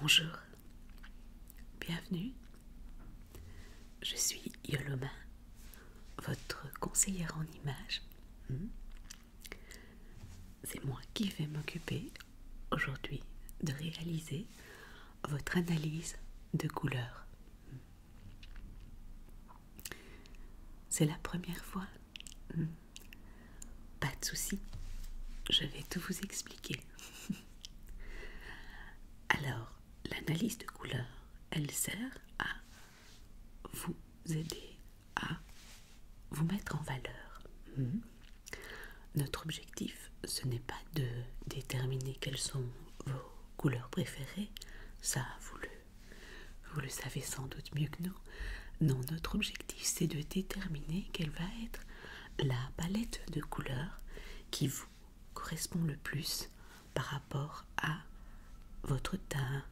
Bonjour, bienvenue. Je suis Yoloma, votre conseillère en images. Hmm? C'est moi qui vais m'occuper aujourd'hui de réaliser votre analyse de couleurs. C'est la première fois. Pas de soucis, je vais tout vous expliquer. Alors, l'analyse de couleurs, elle sert à vous aider à vous mettre en valeur. Mhm. Notre objectif, ce n'est pas de déterminer quelles sont vos couleurs préférées, ça vous le vous le savez sans doute mieux que nous. Non, notre objectif c'est de déterminer quelle va être la palette de couleurs qui vous correspond le plus par rapport à votre teint,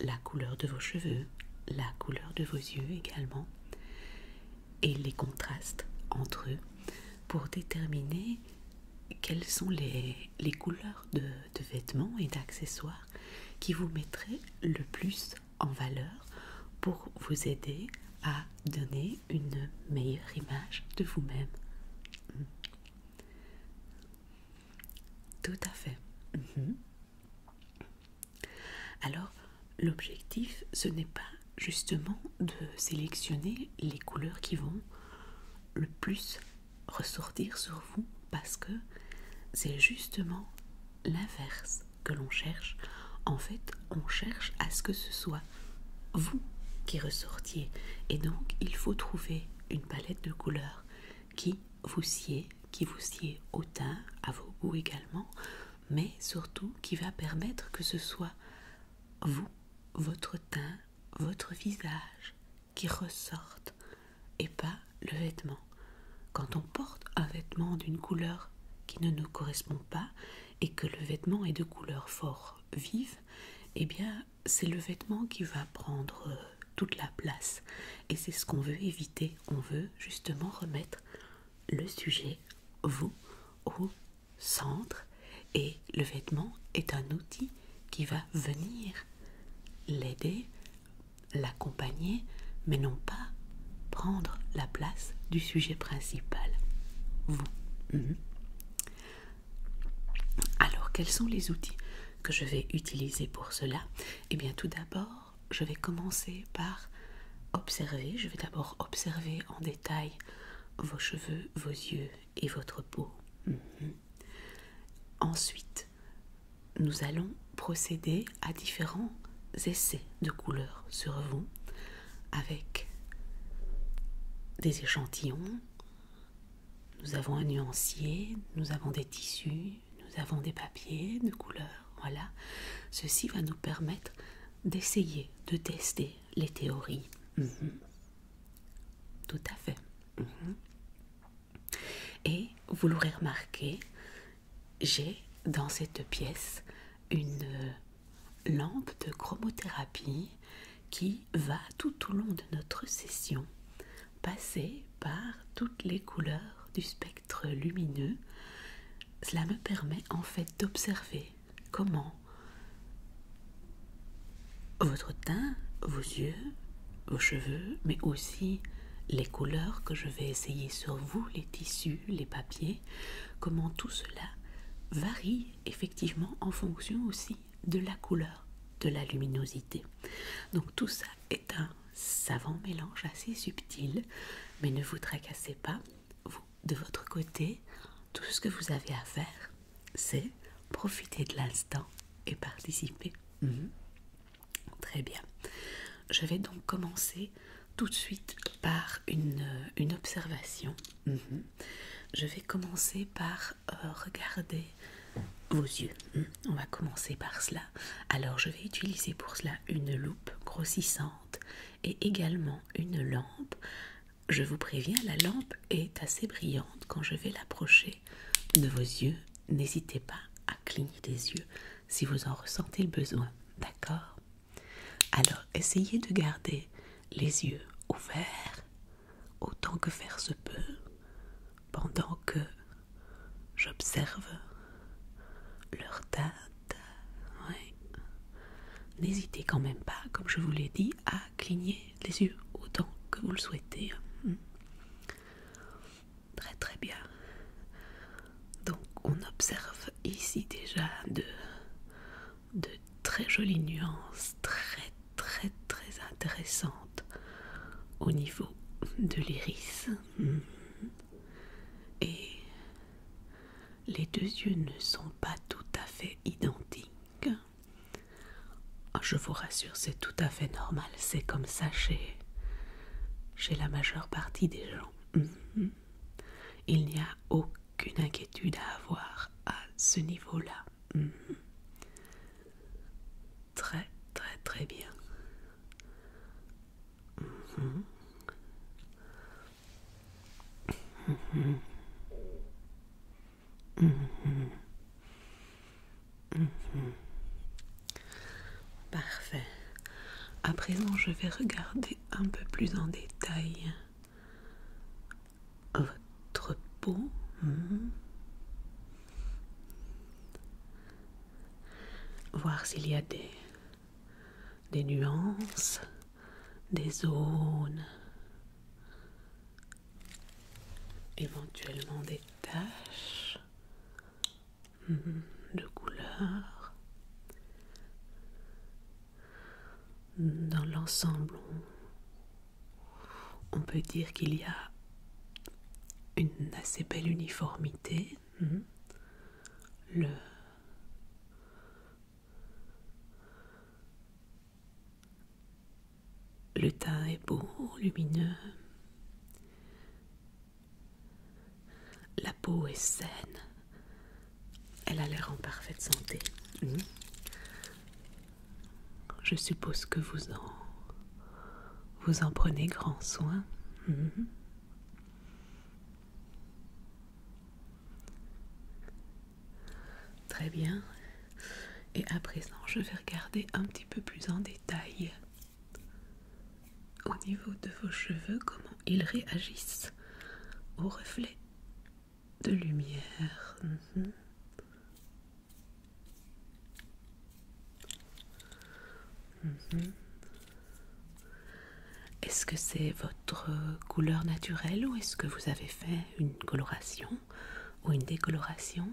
la couleur de vos cheveux, la couleur de vos yeux également, et les contrastes entre eux pour déterminer quelles sont les, les couleurs de de vêtements et d'accessoires qui vous mettraient le plus en valeur pour vous aider à donner une meilleure image de vous-même. Mm. Tout à fait. Mm-hmm. Alors, l'objectif, ce n'est pas justement de sélectionner les couleurs qui vont le plus ressortir sur vous parce que c'est justement l'inverse que l'on cherche. En fait, on cherche à ce que ce soit vous qui ressortiez. Et donc, il faut trouver une palette de couleurs qui vous sied, qui vous sied au teint, à vos goûts également, mais surtout qui va permettre que ce soit vous, votre teint, votre visage qui ressortent et pas le vêtement. Quand on porte un vêtement d'une couleur qui ne nous correspond pas et que le vêtement est de couleur fort vive, eh bien c'est le vêtement qui va prendre euh, toute la place. Et c'est ce qu'on veut éviter. On veut justement remettre le sujet, vous, au centre. Et le vêtement est un outil qui va venir l'aider l'accompagner, mais non pas prendre la place du sujet principal. Vous. Mhm. Alors, quels sont les outils que je vais utiliser pour cela Eh bien, tout d'abord, je vais commencer par observer. Je vais d'abord observer en détail vos cheveux, vos yeux et votre peau. Mhm. Ensuite, nous allons procéder à différents essais de couleurs sur vous avec des échantillons. Nous avons un nuancier, nous avons des tissus, nous avons des papiers de couleurs. Voilà, ceci va nous permettre d'essayer de tester les théories. Mhm. Tout à fait. Mhm. Et vous l'aurez remarqué, j'ai dans cette pièce une euh, lampe de chromothérapie qui va tout au long de notre session passer par toutes les couleurs du spectre lumineux. Cela me permet en fait d'observer comment votre teint, vos yeux, vos cheveux, mais aussi les couleurs que je vais essayer sur vous, les tissus, les papiers, comment tout cela varie effectivement en fonction aussi de la couleur, de la luminosité. Donc tout ça est un savant mélange assez subtil, mais ne vous tracassez pas, vous, de votre côté, tout ce que vous avez à faire, c'est profiter de l'instant et participer. Mhm. Très bien. Je vais donc commencer tout de suite par une, euh, observation. Mhm. Je vais commencer par euh, regarder vos yeux. Mhm. On va commencer par cela. Alors je vais utiliser pour cela une loupe grossissante et également une lampe. Je vous préviens, la lampe est assez brillante. Quand je vais l'approcher, de vos yeux, n'hésitez pas à cligner les yeux si vous en ressentez le besoin. D'accord Alors, essayez de garder les yeux ouverts autant que faire se peut pendant que j'observe leur date. N'hésitez quand même pas, comme je vous l'ai dit, à cligner les yeux autant que vous le souhaitez. Très très bien. Donc on observe ici déjà de, très jolies nuances, très très très intéressantes au niveau de l'iris. Hmm. Et les deux yeux ne sont pas tout à fait identiques. Ah, je vous rassure, c'est tout à fait normal c'est comme ça chez, la majeure partie des gens. Mm-hmm. Il n'y a aucune inquiétude à avoir à ce niveau-là. Mm-hmm. Très très très bien. Mm-hmm. Mhm. Parfait. À présent, je vais regarder un peu plus en détail votre peau. Hmm. Voir s'il y a des, des nuances, des zones, éventuellement des taches. Mhm. de couleurs. Dans l'ensemble, on, peut dire qu'il y a une assez belle uniformité. Mhm. Le, le teint est beau, lumineux. La peau est saine. Elle a l'air en parfaite santé. Mhm. Je suppose que vous en vous en prenez grand soin. Mhm. Très bien. Et à présent, je vais regarder un petit peu plus en détail au niveau de vos cheveux, comment ils réagissent aux reflets de lumière. Mhm. Mhm. Est-ce que c'est votre couleur naturelle ou est-ce que vous avez fait une coloration ou une décoloration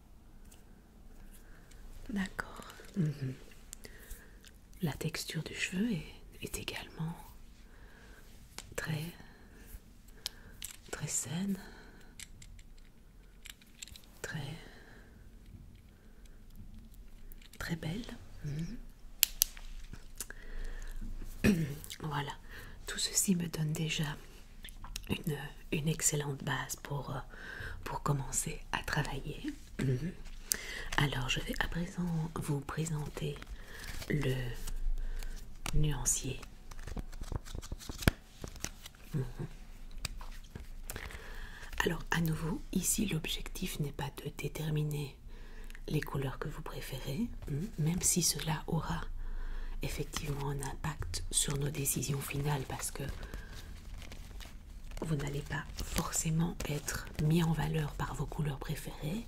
D'accord. Mhm. La texture du cheveu est, également très très saine, très très belle. Mhm. voilà, tout ceci me donne déjà une une excellente base pour, euh, pour commencer à travailler. Mhm. Alors je vais à présent vous présenter le nuancier. Mhm. Alors à nouveau, ici l'objectif n'est pas de déterminer les couleurs que vous préférez, mhm. même si cela aura effectivement un impact sur nos décisions finales parce que vous n'allez pas forcément être mis en valeur par vos couleurs préférées,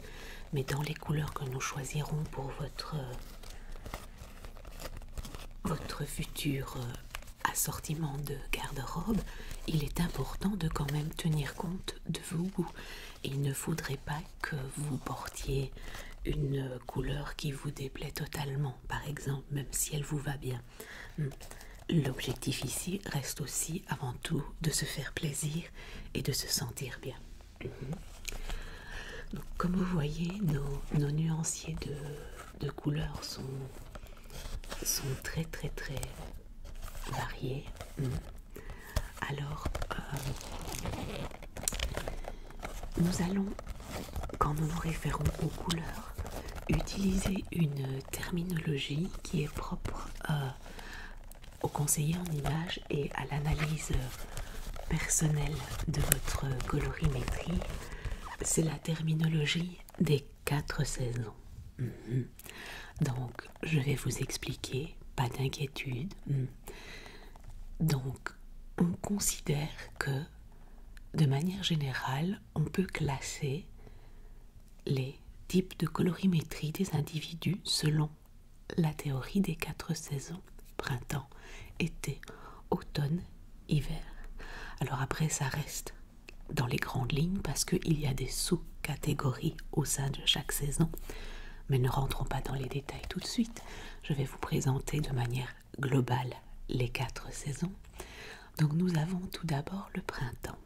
mais dans les couleurs que nous choisirons pour votre, euh, votre futur euh, assortiment de garde-robe, il est important de quand même tenir compte de vos goûts. Il ne faudrait pas que vous portiez une couleur qui vous déplaît totalement, par exemple, même si elle vous va bien. L'objectif ici reste aussi avant tout de se faire plaisir et de se sentir bien. Mhm. comme vous voyez, nos, nuanciers de, couleurs sont, sont très très très variés. Alors, euh, nous allons quand nous nous référons aux couleurs, utilisez une terminologie qui est propre aux euh, au conseiller en images et à l'analyse personnelle de votre colorimétrie. C'est la terminologie des quatre saisons. Mhm. Donc, je vais vous expliquer, pas d'inquiétude. Mhm. Donc, on considère que, de manière générale, on peut classer les types de colorimétrie des individus selon la théorie des quatre saisons, printemps, été, automne, hiver. Alors après, ça reste dans les grandes lignes parce qu'il y a des sous-catégories au sein de chaque saison. Mais ne rentrons pas dans les détails tout de suite. Je vais vous présenter de manière globale les quatre saisons. Donc nous avons tout d'abord le printemps.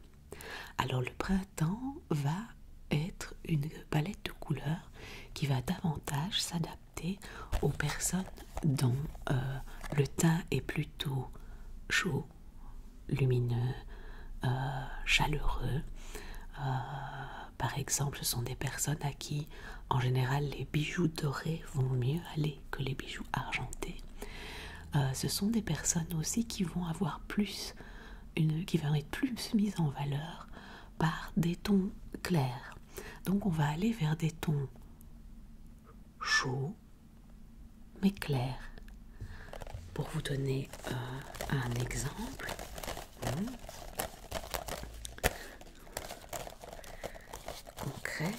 Alors le printemps va être une palette de couleurs qui va davantage s'adapter aux personnes dont euh, le teint est plutôt chaud, lumineux, euh, chaleureux. Euh, par exemple, ce sont des personnes à qui en général les bijoux dorés vont mieux aller que les bijoux argentés. Euh, ce sont des personnes aussi qui vont avoir plus, une, qui vont être plus mises en valeur par des tons clairs. Donc on va aller vers des tons chauds mais clairs. Pour vous donner euh, un exemple, concret,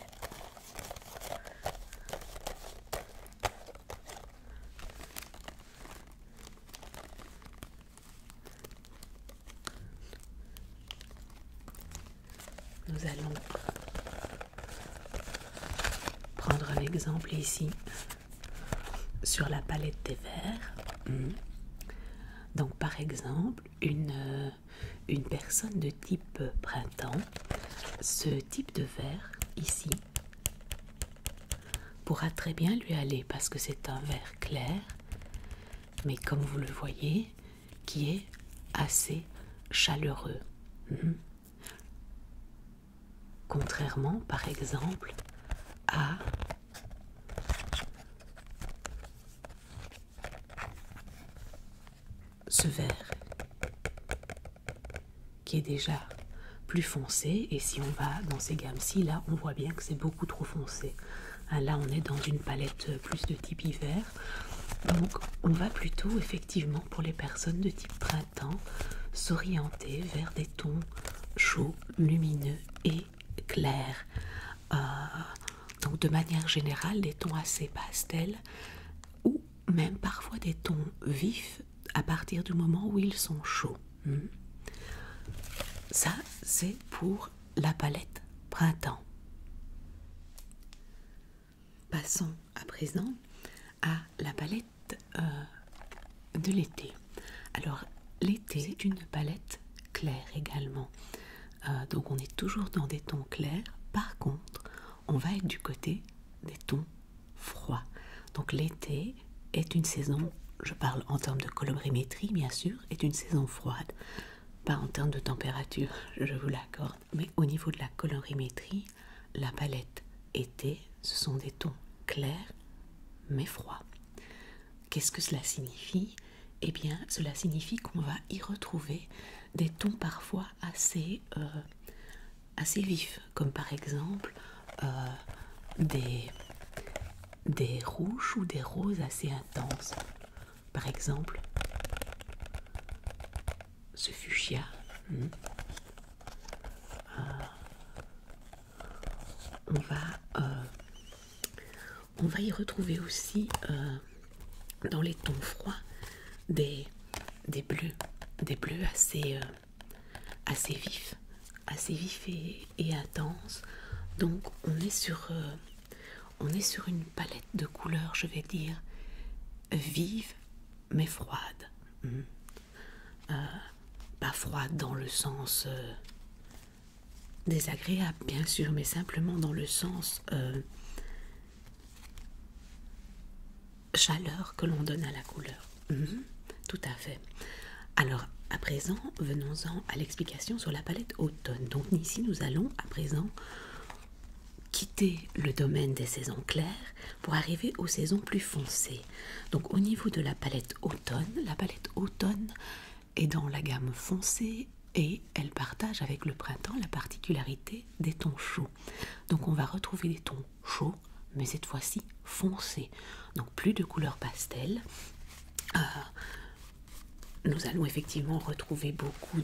nous allons prendre l'exemple ici sur la palette des verts, mhm. Donc par exemple une, euh, une personne de type printemps ce type de verre ici pourra très bien lui aller parce que c'est un verre clair mais comme vous le voyez qui est assez chaleureux mhm. contrairement par exemple à ce vert qui est déjà plus foncé et si on va dans ces gammes-ci là on voit bien que c'est beaucoup trop foncé hein, là on est dans une palette plus de type hiver donc on va plutôt effectivement pour les personnes de type printemps s'orienter vers des tons chauds lumineux et clairs euh, donc de manière générale des tons assez pastels ou même parfois des tons vifs à partir du moment où ils sont chauds. Hmm. Ça, c'est pour la palette printemps. Passons à présent à la palette euh, de l'été. Alors, l'été c'est une palette claire également. Euh, donc, on est toujours dans des tons clairs. Par contre, on va être du côté des tons froids. Donc l'été est une saison, je parle en termes de colorimétrie bien sûr, est une saison froide. Pas en termes de température, je vous l'accorde, mais au niveau de la colorimétrie, la palette été, ce sont des tons clairs mais froids. Qu'est-ce que cela signifie Eh bien, cela signifie qu'on va y retrouver des tons parfois assez euh, assez vifs, comme par exemple euh, des, des rouges ou des roses assez intenses. Par exemple, ce fuchsia. Hmm. Euh, on, va, euh, on va y retrouver aussi dans les tons froids des, des bleus, des bleus assez, euh, assez vifs, assez vifs et, intenses. Donc on est sur, euh, on est sur une palette de couleurs, je vais dire vives mais froides hmm. euh, pas froides dans le sens désagréable, bien sûr, mais simplement dans le sens chaleur que l'on donne à la couleur. Mhm. tout à fait. Alors, à présent, venons-en à l'explication sur la palette automne. Donc, ici, nous allons à présent quitter le domaine des saisons claires pour arriver aux saisons plus foncées. Donc, au niveau de la palette automne, la palette automne est dans la gamme foncée et elle partage avec le printemps la particularité des tons chauds. Donc on va retrouver des tons chauds, mais cette fois-ci foncés. Donc plus de couleurs pastel. Euh, nous allons effectivement retrouver beaucoup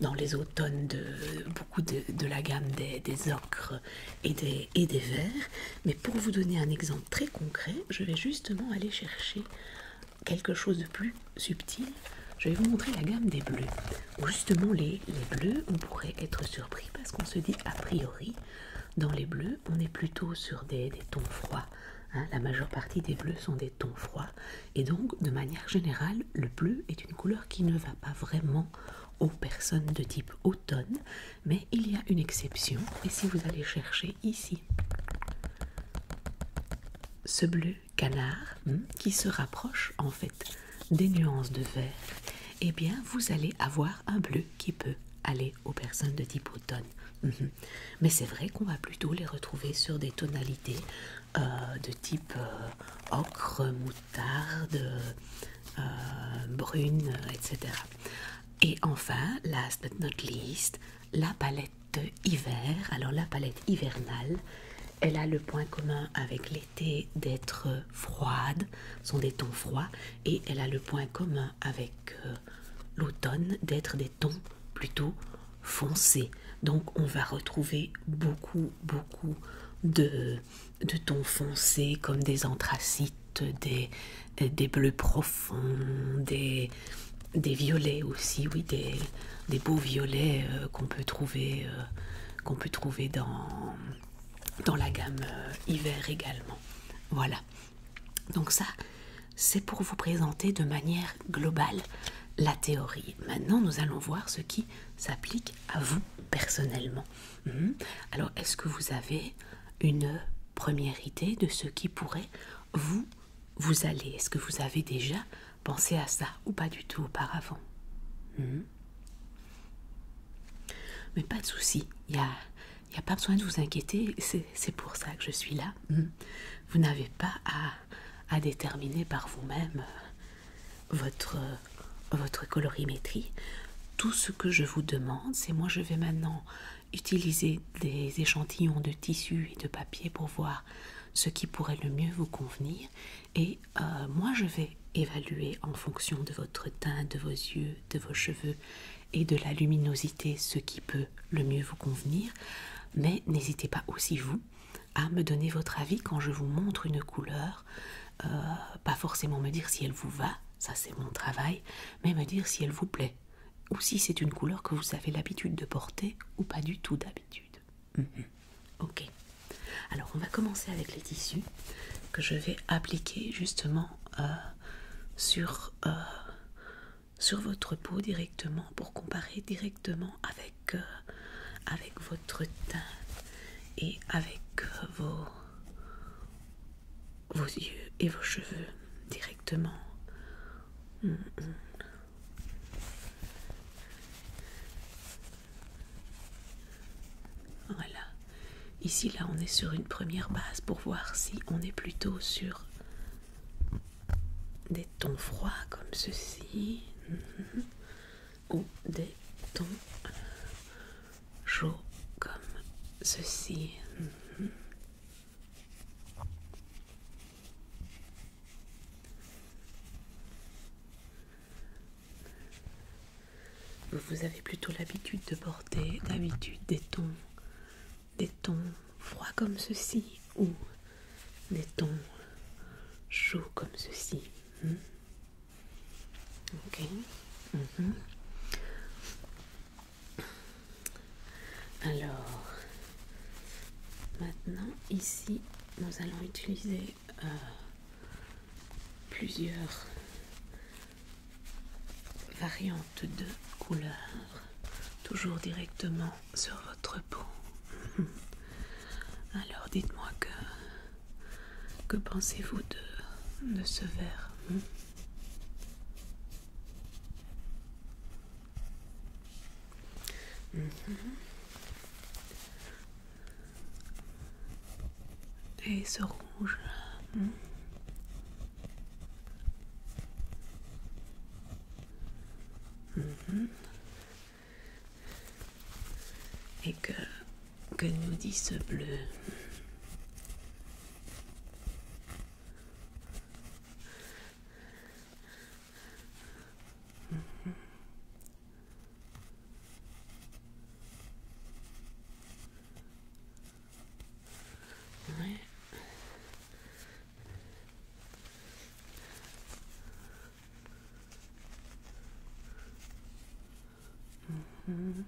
dans les automnes de beaucoup de, la gamme des, ocres et des, et des verts. Mais pour vous donner un exemple très concret, je vais justement aller chercher quelque chose de plus subtil. Je vais vous montrer la gamme des bleus justement les, bleus, on pourrait être surpris parce qu'on se dit a priori, dans les bleus, on est plutôt sur des, tons froids. Hein. la majeure partie des bleus sont des tons froids. Et donc, de manière générale, le bleu est une couleur qui ne va pas vraiment aux personnes de type automne. Mais il y a une exception. Et si vous allez chercher ici ce bleu canard hmm, qui se rapproche en fait des nuances de vert, eh bien vous allez avoir un bleu qui peut aller aux personnes de type automne. Mhm. Mais c'est vrai qu'on va plutôt les retrouver sur des tonalités euh, de type euh, ocre, moutarde, euh, brune, etc. Et enfin, last but not least, la palette hiver. Alors la palette hivernale, elle a le point commun avec l'été d'être froide, sont des tons froids, et elle a le point commun avec euh, l'automne d'être des tons plutôt foncés. Donc on va retrouver beaucoup, beaucoup de, tons foncés comme des anthracites, des, bleus profonds, des, violets aussi, oui, des, beaux violets euh, qu'on peut trouver. Euh, qu'on peut trouver dans, dans la gamme euh, hiver également. Voilà. Donc ça, c'est pour vous présenter de manière globale la théorie. Maintenant, nous allons voir ce qui s'applique à vous personnellement. Mhm. Alors, est-ce que vous avez une première idée de ce qui pourrait vous vous aller Est-ce que vous avez déjà pensé à ça ou pas du tout auparavant mhm. Mais pas de souci, il n'y a, pas besoin de vous inquiéter, c'est pour ça que je suis là. Hmm. Vous n'avez pas à, déterminer par vous-même euh, votre, euh, votre colorimétrie. Tout ce que je vous demande, c'est moi je vais maintenant utiliser des échantillons de tissu et de papier pour voir ce qui pourrait le mieux vous convenir et euh, moi, je vais évaluer en fonction de votre teint, de vos yeux, de vos cheveux et de la luminosité ce qui peut le mieux vous convenir. Mais n'hésitez pas aussi, vous, à me donner votre avis quand je vous montre une couleur. Euh, pas forcément me dire si elle vous va, ça c'est mon travail, mais me dire si elle vous plaît ou si c'est une couleur que vous avez l'habitude de porter ou pas du tout d'habitude. Mhm. Ok. Alors on va commencer avec les tissus que je vais appliquer justement euh, sur, euh, sur votre peau directement pour comparer directement avec, euh, avec votre teint et avec vos, vos yeux et vos cheveux directement. Mhm. Voilà. Ici, là, on est sur une première base pour voir si on est plutôt sur des tons froids comme ceci mhm. ou des tons chauds comme ceci. Mhm. Vous avez plutôt l'habitude de porter d'habitude des tons, des tons froids comme ceci ou des tons chauds comme ceci. Hmm? Ok. Mhm. Alors, maintenant ici, nous allons utiliser euh, plusieurs variantes de couleurs, toujours directement sur votre peau. Alors dites-moi que que pensez-vous de, ce verre hmm? et ce rouge. Et que, que nous dit ce bleu hmm. Right. Mm-hmm.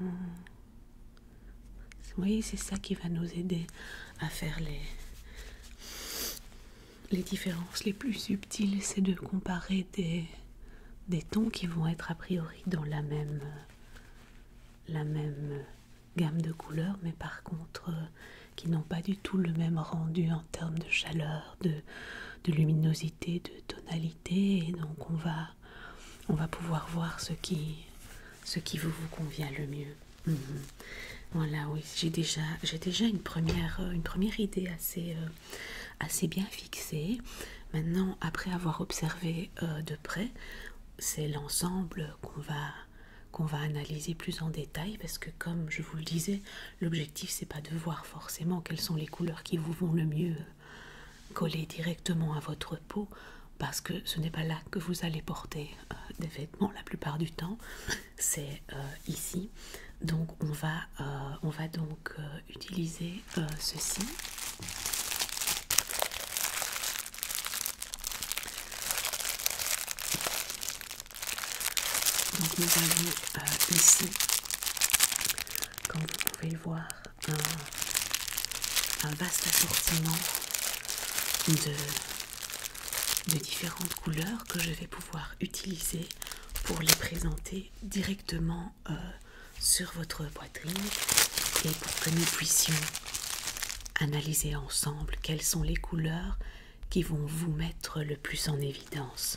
Mm-hmm. Vous voyez, c'est ça qui va nous aider à faire les, les différences les plus subtiles, c'est de comparer des, des tons qui vont être a priori dans la même, la même gamme de couleurs, mais par contre euh, qui n'ont pas du tout le même rendu en termes de chaleur, de, de luminosité, de tonalité, et donc on va, on va pouvoir voir ce qui, ce qui vous, vous convient le mieux. Mhm. Voilà, oui, j'ai déjà, euh, une première, idée euh, assez, bien fixée. Maintenant, après avoir observé euh, de près, c'est l'ensemble qu'on va, qu'on va analyser plus en détail parce que, comme je vous le disais, l'objectif c'est pas de voir forcément quelles sont les couleurs qui vous vont le mieux coller directement à votre peau parce que ce n'est pas là que vous allez porter euh, des vêtements la plupart du temps, c'est euh, ici. Donc on va, euh, on va donc utiliser ceci. Donc nous avons ici, comme vous pouvez voir, un, un vaste assortiment de de différentes couleurs que je vais pouvoir utiliser pour les présenter directement euh, sur votre poitrine et pour que nous puissions analyser ensemble quelles sont les couleurs qui vont vous mettre le plus en évidence.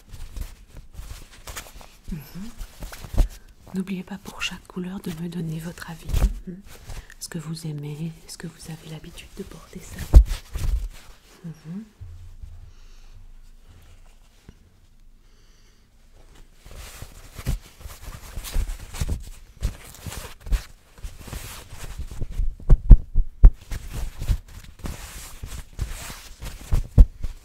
Mhm. N'oubliez pas pour chaque couleur de me donner votre avis. Mhm. ce que vous aimez Est-ce que vous avez l'habitude de porter ça mhm.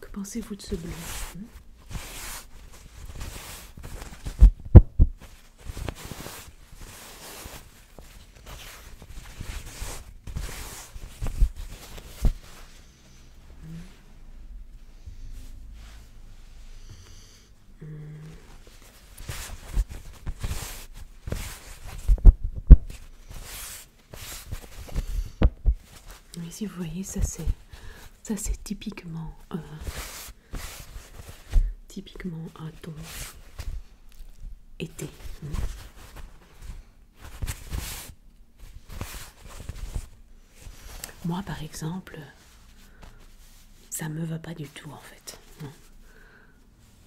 Que pensez-vous de ce bleu Mais si vous voyez, ça c'est ça c'est typiquement, typiquement un ton été. Moi par exemple, ça me va pas du tout en fait.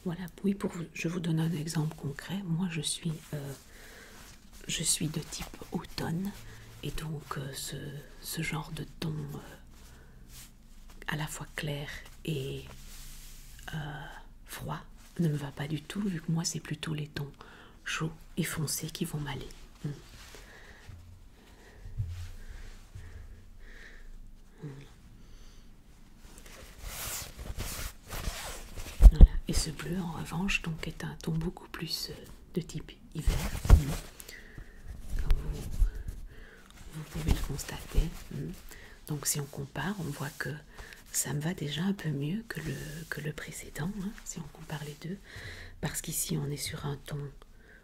Voilà, oui, pour je vous donne un exemple concret. Moi je suis euh, je suis de type automne et donc euh, ce, genre de ton euh, à la fois clair et euh, froid ne me va pas du tout vu que moi c'est plutôt les tons chauds et foncés qui vont m'aller. Hmm. Hmm. Et ce bleu en revanche donc est un ton beaucoup plus de type hiver. Comme hum, vous, pouvez le constater. Hum, donc si on compare, on voit que ça me va déjà un peu mieux que le, que le précédent, hein, si on compare les deux. Parce qu'ici, on est sur un ton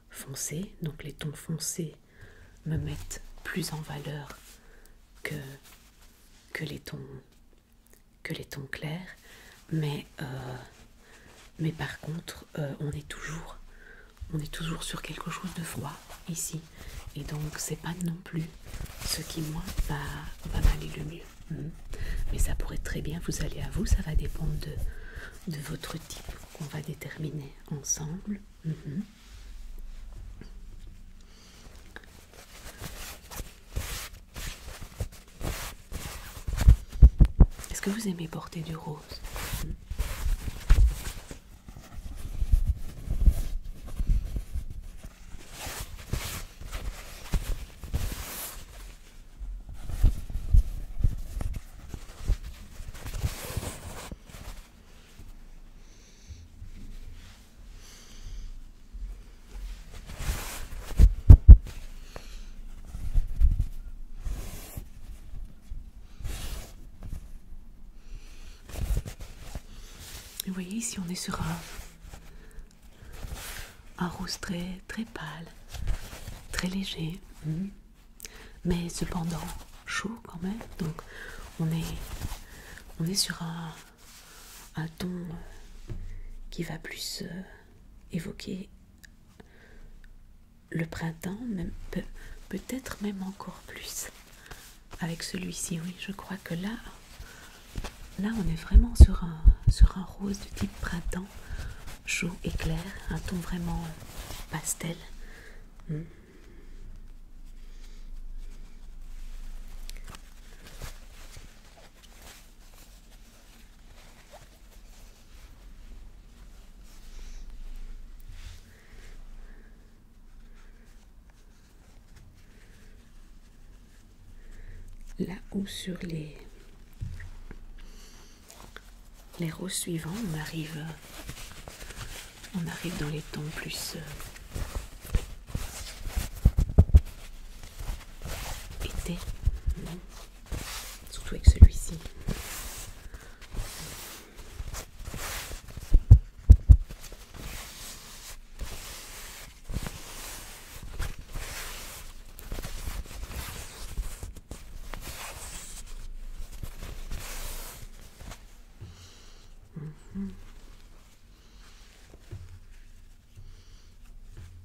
foncé. Donc les tons foncés me mettent plus en valeur que, que les tons que les tons clairs, mais, euh, mais par contre, euh, on, est toujours, on est toujours sur quelque chose de froid ici, et donc c'est pas non plus ce qui, moi, va, va m'aller le mieux. Hmm. Mais ça pourrait très bien vous aller à vous, ça va dépendre de, votre type qu'on va déterminer ensemble. Hmm. Est-ce que vous aimez porter du rose vous voyez ici on est sur un, rose très, très pâle, très léger, mhm. mais cependant chaud quand même. Donc on est, on sur un, ton qui va plus euh, évoquer le printemps, peut-être même encore plus avec celui-ci. Oui, je crois que là, là, on est vraiment sur un, rose de type printemps, chaud et clair, un ton vraiment pastel là où sur les, les suivants, on arrive, on arrive dans les temps plus euh, été surtout avec celui-ci. Mhm.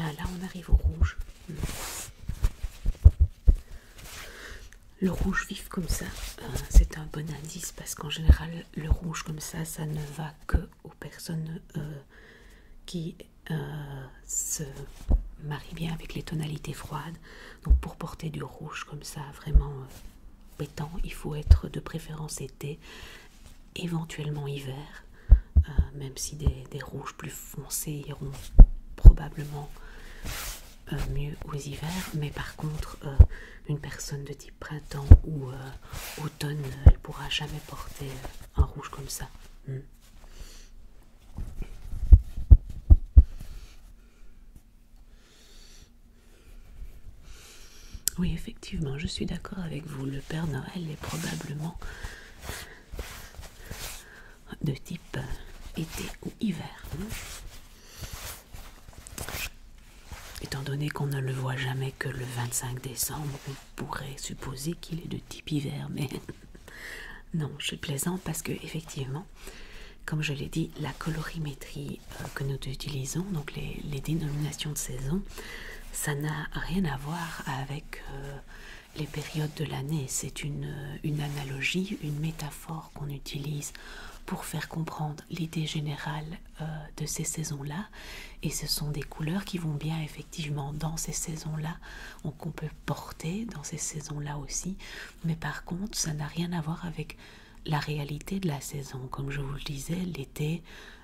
Ah, là, on arrive au rouge. Le rouge vif comme ça, euh, c'est un bon indice parce qu'en général, le rouge comme ça, ça ne va que aux personnes euh, qui euh, se marient bien avec les tonalités froides. Donc pour porter du rouge comme ça, vraiment euh, pétant, il faut être de préférence été, éventuellement hiver, même si des, rouges plus foncés iront probablement mieux aux hivers. Mais par contre, une personne de type printemps ou automne, elle pourra jamais porter un rouge comme ça. Hmm. Oui, effectivement, je suis d'accord avec vous. Le Père Noël est probablement de type été ou hiver. Hein. Étant donné qu'on ne le voit jamais que le 25 décembre, on pourrait supposer qu'il est de type hiver, mais non, je suis plaisante parce que effectivement, comme je l'ai dit, la colorimétrie euh, que nous utilisons, donc les, dénominations de saison, ça n'a rien à voir avec euh, les périodes de l'année. C'est euh, une, analogie, une métaphore qu'on utilise pour faire comprendre l'idée générale de ces saisons-là. Et ce sont des couleurs qui vont bien effectivement dans ces saisons-là qu'on peut porter dans ces saisons-là aussi. Mais par contre, ça n'a rien à voir avec la réalité de la saison. Comme je vous le disais, l'été,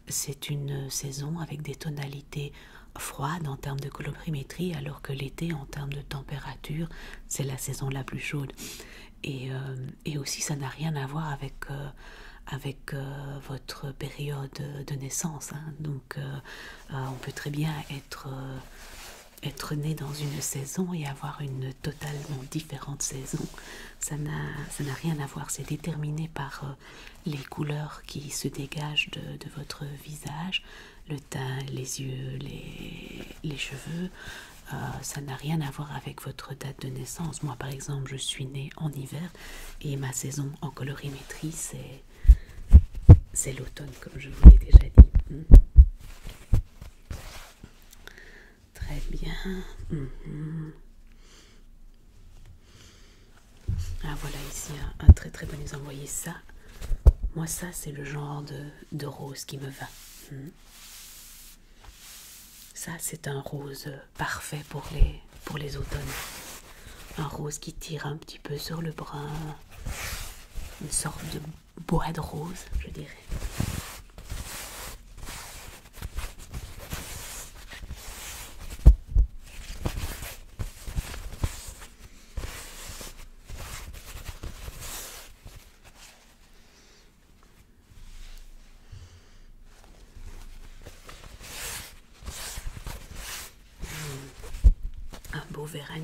c'est une saison avec des tonalités froides en termes de colorimétrie, alors que l'été, en termes de température, c'est la saison la plus chaude. Et, euh, aussi, ça n'a rien à voir avec... Euh, avec euh, votre période de naissance. Hein. Donc, euh, on peut très bien être, euh, être né dans une saison et avoir une totalement différente saison. Ça n'a rien à voir, c'est déterminé par euh, les couleurs qui se dégagent de, votre visage, le teint, les yeux, les, cheveux. ça n'a rien à voir avec votre date de naissance. Moi, par exemple, je suis né en hiver et ma saison en colorimétrie, c'est c'est l'automne, comme je vous l'ai déjà dit. Hmm. Très bien. Hmm. Ah voilà, ici un, très très bon envoyé Vous ça Moi, ça, c'est le genre de, rose qui me va. Hmm. Ça, c'est un rose parfait pour les, pour les automnes. Un rose qui tire un petit peu sur le brun, une sorte de bois de rose, je dirais un beau verre à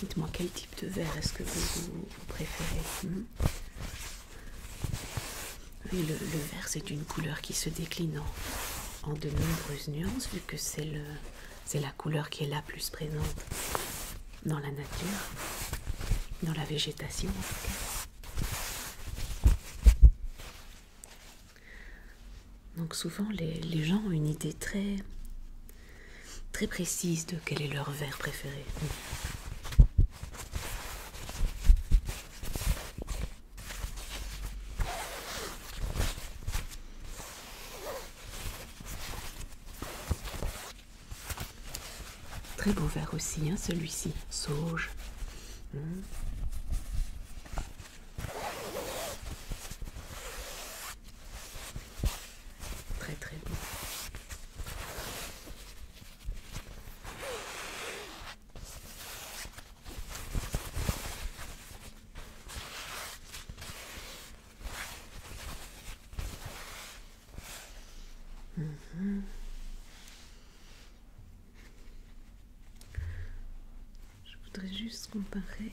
Dites-moi quel type de vert est-ce que vous, préférez hmm le, vert c'est une couleur qui se décline en, de nombreuses nuances vu que c'est la couleur qui est la plus présente dans la nature, dans la végétation donc souvent les, gens ont une idée très très précise de quel est leur verre préféré. Très beau verre aussi, hein, celui-ci. Sauge. Hmm. Très très beau. Je voudrais juste comparer.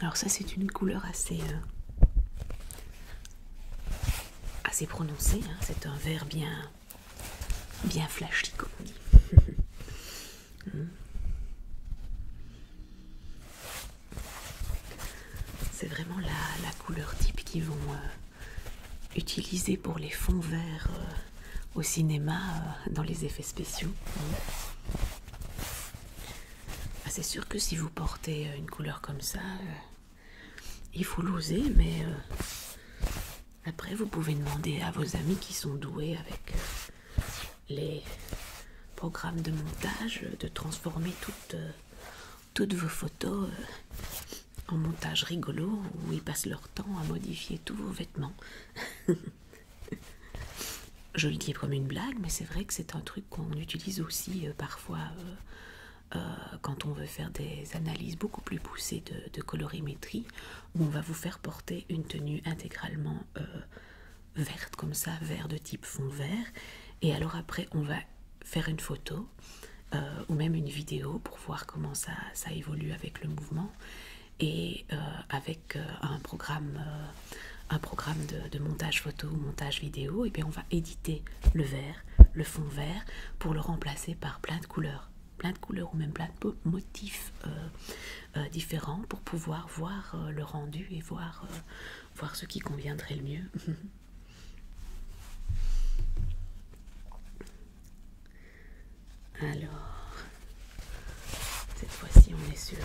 Alors ça c'est une couleur assez, euh, assez prononcée, hein. c'est un vert bien, bien flashy comme on dit. Hmm. C'est vraiment la, couleur type qu'ils vont euh, utiliser pour les fonds verts euh, au cinéma, dans les effets spéciaux. Hmm. Ah, c'est sûr que si vous portez euh, une couleur comme ça, euh, il faut l'oser, mais euh, après vous pouvez demander à vos amis qui sont doués avec les programmes de montage de transformer toutes, vos photos en montage rigolo où ils passent leur temps à modifier tous vos vêtements. Je qui est comme une blague, mais c'est vrai que c'est un truc qu'on utilise aussi euh, parfois euh, euh, quand on veut faire des analyses beaucoup plus poussées de, colorimétrie, où on va vous faire porter une tenue intégralement verte, comme ça, vert de type fond vert, et alors après on va faire une photo ou même une vidéo pour voir comment ça, évolue avec le mouvement et avec euh, un programme, euh, un programme de, montage photo ou montage vidéo, et bien on va éditer le vert, le fond vert, pour le remplacer par plein de couleurs, plein de couleurs ou même plein de motifs euh, différents pour pouvoir voir le rendu et voir, voir ce qui conviendrait le mieux. Alors, cette fois-ci, on est sûr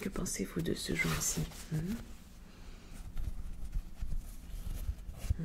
Que pensez-vous de ce jour ci hein hein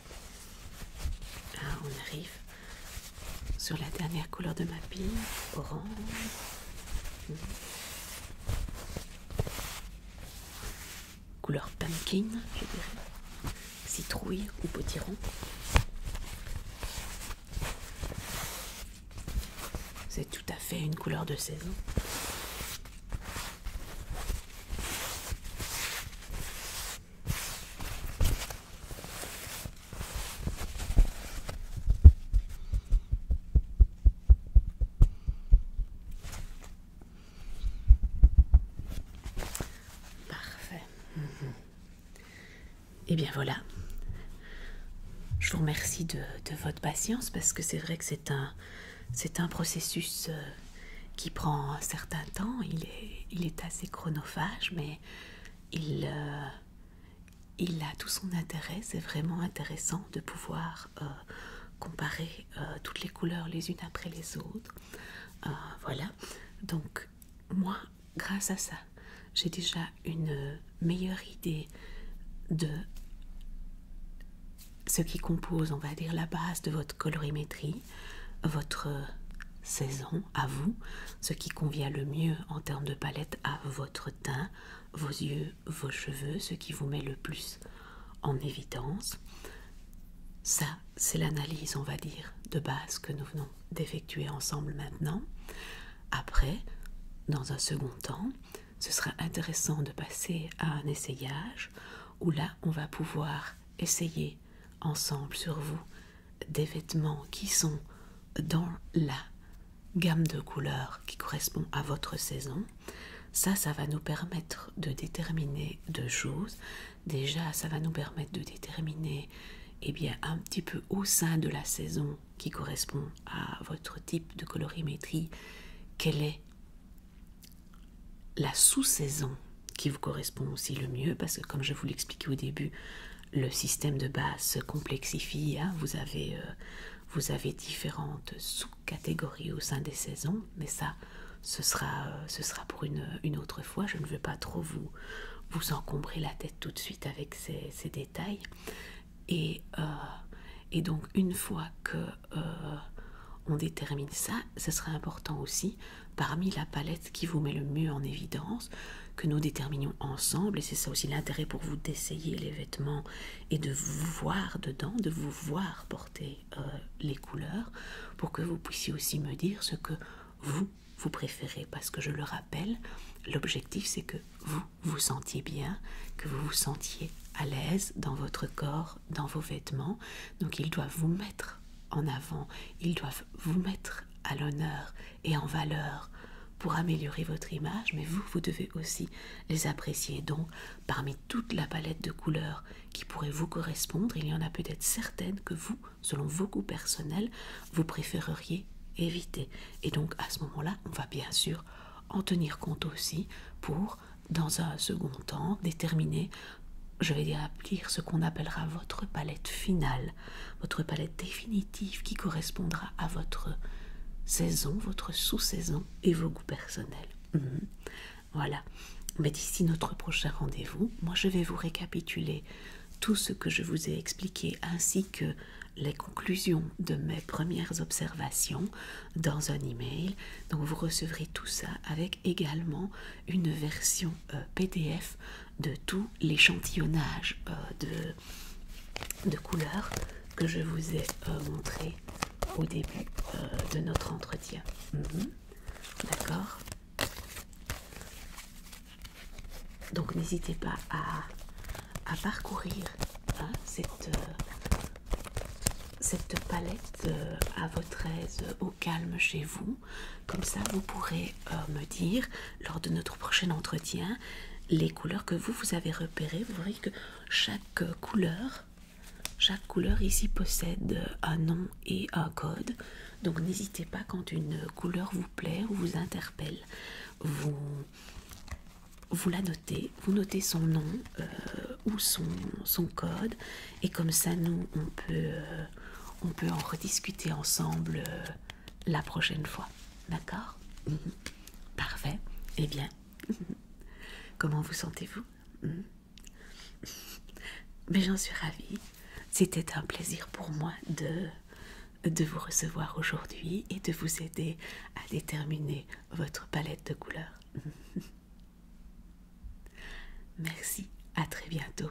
Ah, on arrive sur la dernière couleur de ma pile, orange. Hmm. Couleur pumpkin, je dirais. Citrouille ou potiron. C'est tout à fait une couleur de saison. Parfait. Et eh bien voilà. Je vous remercie de, votre patience parce que c'est vrai que c'est un, un processus euh, qui prend un certain temps. Il est, il est assez chronophage, mais euh, il, a tout son intérêt. C'est vraiment intéressant de pouvoir euh, comparer euh, toutes les couleurs les unes après les autres. voilà. Donc moi, grâce à ça, j'ai déjà une meilleure idée de ce qui compose, on va dire, la base de votre colorimétrie votre saison à vous, ce qui convient le mieux en termes de palette à votre teint, vos yeux, vos cheveux, ce qui vous met le plus en évidence. Ça, c'est l'analyse, on va dire, de base que nous venons d'effectuer ensemble maintenant. Après, dans un second temps, ce sera intéressant de passer à un essayage où là, on va pouvoir essayer ensemble sur vous des vêtements qui sont dans la gamme de couleurs qui correspond à votre saison. Ça, ça va nous permettre de déterminer deux choses. Déjà, ça va nous permettre de déterminer eh bien, un petit peu au sein de la saison qui correspond à votre type de colorimétrie, quelle est la sous-saison qui vous correspond aussi le mieux, parce que comme je vous l'expliquais au début, le système de base se complexifie, hein. euh, vous, avez, différentes sous-catégories au sein des saisons, mais ça, ce sera, euh, pour une, autre fois, je ne veux pas trop vous, vous encombrer la tête tout de suite avec ces, détails. Euh, et, donc une fois que... on détermine ça, ce sera important aussi parmi la palette qui vous met le mieux en évidence, que nous déterminions ensemble, et c'est ça aussi l'intérêt pour vous d'essayer les vêtements et de vous voir dedans, de vous voir porter euh, les couleurs, pour que vous puissiez aussi me dire ce que vous, vous préférez, parce que je le rappelle, l'objectif c'est que vous vous sentiez bien, que vous vous sentiez à l'aise dans votre corps, dans vos vêtements, donc ils doivent vous mettre en avant, ils doivent vous mettre à l'honneur et en valeur pour améliorer votre image, mais vous, vous devez aussi les apprécier. Donc, parmi toute la palette de couleurs qui pourrait vous correspondre, il y en a peut-être certaines que vous, selon vos goûts personnels, vous préféreriez éviter. Et donc, à ce moment-là, on va bien sûr en tenir compte aussi pour, dans un second temps, déterminer, je vais dire, ce qu'on appellera votre palette finale votre palette définitive qui correspondra à votre saison, votre sous-saison et vos goûts personnels. Mhm. Voilà. Mais d'ici notre prochain rendez-vous, moi je vais vous récapituler tout ce que je vous ai expliqué ainsi que les conclusions de mes premières observations dans un email. Donc vous recevrez tout ça avec également une version euh, PDF de tout l'échantillonnage euh, de, de couleurs que je vous ai euh, montré au début de notre entretien. Mhm. D'accord Donc n'hésitez pas à, à parcourir hein, cette, cette palette à votre aise, au calme chez vous. Comme ça, vous pourrez euh, me dire lors de notre prochain entretien les couleurs que vous vous avez repérées. Vous verrez que chaque couleur, chaque couleur ici possède un nom et un code. Donc n'hésitez pas quand une couleur vous plaît ou vous interpelle, vous vous la notez, vous notez son nom euh, ou son, code et comme ça nous on peut euh, on peut en rediscuter ensemble la prochaine fois. D'accord mhm. Parfait. Eh bien, comment vous sentez-vous mhm. Mais j'en suis ravie. C'était un plaisir pour moi de, de vous recevoir aujourd'hui et de vous aider à déterminer votre palette de couleurs. Merci, à très bientôt.